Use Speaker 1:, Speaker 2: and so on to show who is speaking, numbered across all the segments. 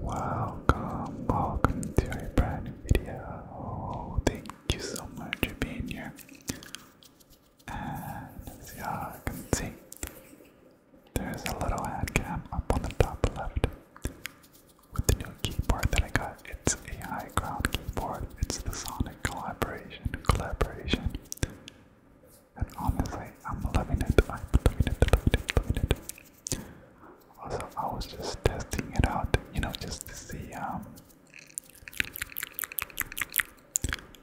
Speaker 1: Welcome, welcome to a brand new video. Oh, thank you so much for being here. And as y'all can see, there's a little hand up on the top left with the new keyboard that I got. It's a ground keyboard. It's the Sonic collaboration collaboration. And honestly, I'm loving it. I'm loving it, loving it, loving it. Also, I was just testing it out, you know, just to see um,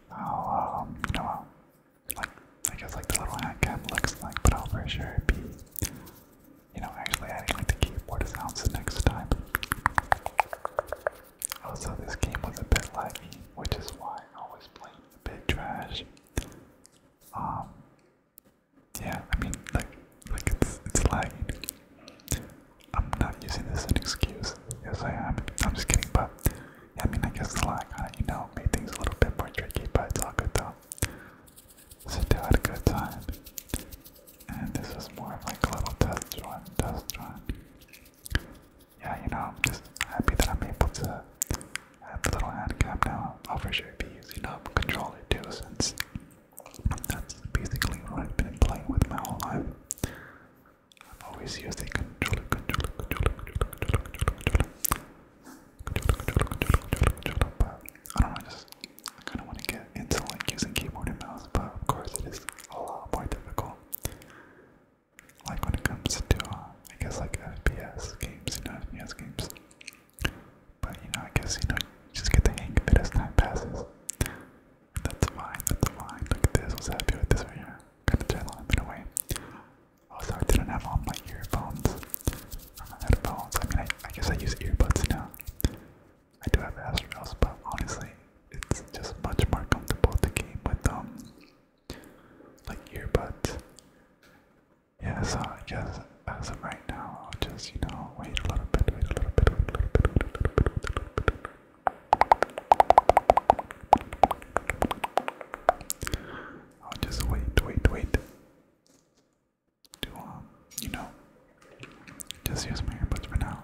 Speaker 1: how, um, you know, like, I guess like the little hand cam looks like, but I'll for sure be, you know, actually adding like the keyboard sounds next time. Also, this game was a bit laggy, which is why I always play a bit trash. Um, yeah, I mean, like, like it's it's lagging. I'm not using this as an excuse. Yes, I am. I'm just kidding, but yeah, I mean, I guess the lack, kind of, you know, made things a little bit more tricky, but it's all good though. So still had a good time, and this was more of like a little test run, test run yeah, you know, I'm just happy that I'm able to have the little hand cam now. I'll for sure be using up um, controller too, since that's basically what I've been playing with my whole life. I've always used the controller, controller, controller, controller, controller, controller, controller, controller, controller, controller, controller, but I don't know, I just I kind of want to get into like using keyboard and mouse, but of course it is a lot more difficult like when it comes to, uh, I guess, like FPS games, you know, FPS games. But you know, I guess you know, you just get the hang of it as time passes. That's fine, that's fine. Look at this, was happy with this right here. Kinda turn on in a way. Also, I didn't have on my earphones. Or uh, my headphones. I mean, I, I guess I use earbuds now. I do have Astros, but honestly, it's just much more comfortable to game with um like earbuds. Yeah, so I guess as of right now I'll just, you know, wait a little bit, wait a little bit, wait a little bit, wait a little bit, wait a little bit. I'll just wait, wait, wait. To um, you know, just use my earbuds for now.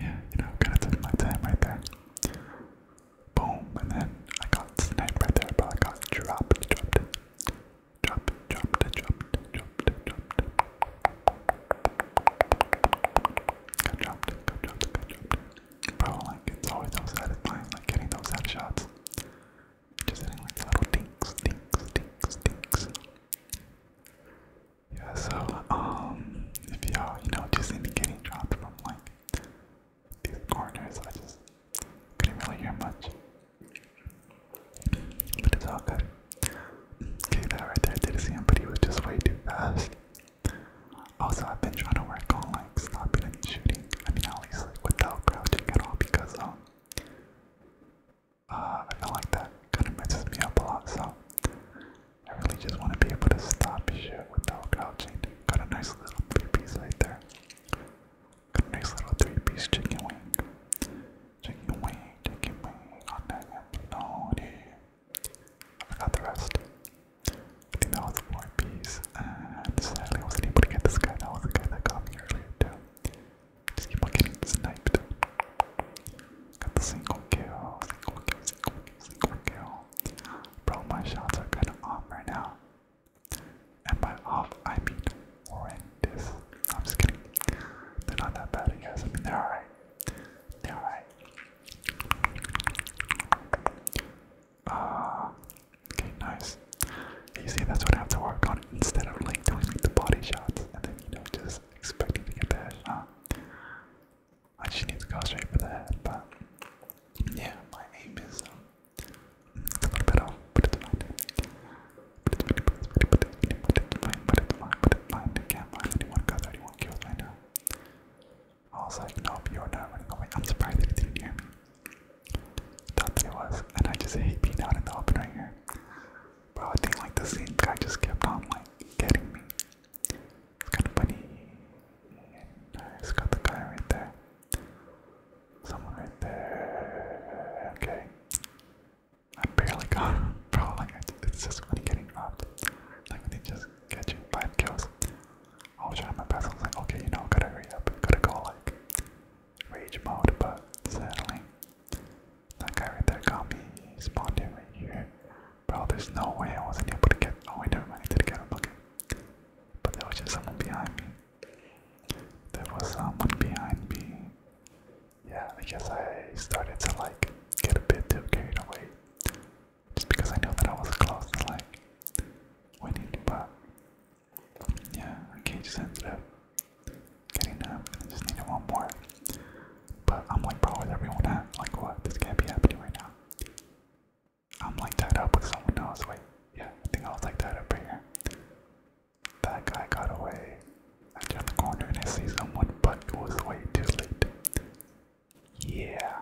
Speaker 2: yeah, you know, kind of took my time right there. Boom, and then I got sniped right there, but I got dropped, dropped, dropped, dropped, dropped, dropped, dropped. dropped, dropped, Bro, like it's always so satisfying, like getting those headshots. Just hitting like little dinks, dinks, dinks, dinks. Yeah, so um if y'all, you know, just see me getting dropped from like these corners, I just couldn't really hear much. But it's all good. Okay, that right there I did see him, but he was just way too fast.
Speaker 1: Also, I've been trying to work on like stopping shooting. I mean, at least like without crouching at all, because um, uh, I feel like that kind of messes me up a lot, so I really just want to be able to stop shit without crouching. Got a nice little three piece right there. Got a nice little three piece chicken wing. Chicken wing, chicken wing on that bologna. I got the rest. I think that was four piece, and sadly I wasn't able to get this guy. That was the guy that got me earlier too. Just keep on getting sniped. Got the single kill, single kill, single kill, single kill. Bro, my shots are kinda off right now. And by off, I mean horrendous. I'm just kidding. They're not that bad, I I mean, they're alright. They're alright. Uh, Okay, nice. You see, that's what I have to work on instead of like doing like the body shots and then you know just expecting to get that shot. I just need to go straight for the head, but yeah, my aim is um, a little bit off, but it's fine. But it's fine, but it's fine, but it's fine, but it's fine. I can't find anyone got 31 kills right now. I was like, nope, you're not running away. I'm Thought that it was, and I just hate being out in the open right here. Bro, I think like the same guy just kept on like getting me. It's kind of funny. And I got the guy right there. Someone right there. Okay. I am barely got him. Bro, like, it's just funny getting robbed. Like, when they just get you five kills. I was trying my best. I was like, okay, you know, gotta hurry up. Gotta go, like, rage mode, but sadly,
Speaker 3: that guy right there got me. He spawned in right here. Bro, there's no way I wasn't able to get. Oh, wait, never mind. I get him. Okay. But there was just someone behind me. There was someone behind me. Yeah, I guess I started to like get a bit too carried away. Just because I knew that I was close to like winning, but yeah, okay, just ended up getting up. I just needed one more. But I'm like, bro, where's everyone at? Like, what? This can't be happening right now. I'm like tied up with someone else. Wait, yeah, I think I was like tied up right here. That guy got away. I turned the corner and I see someone, but it was way too late. Yeah.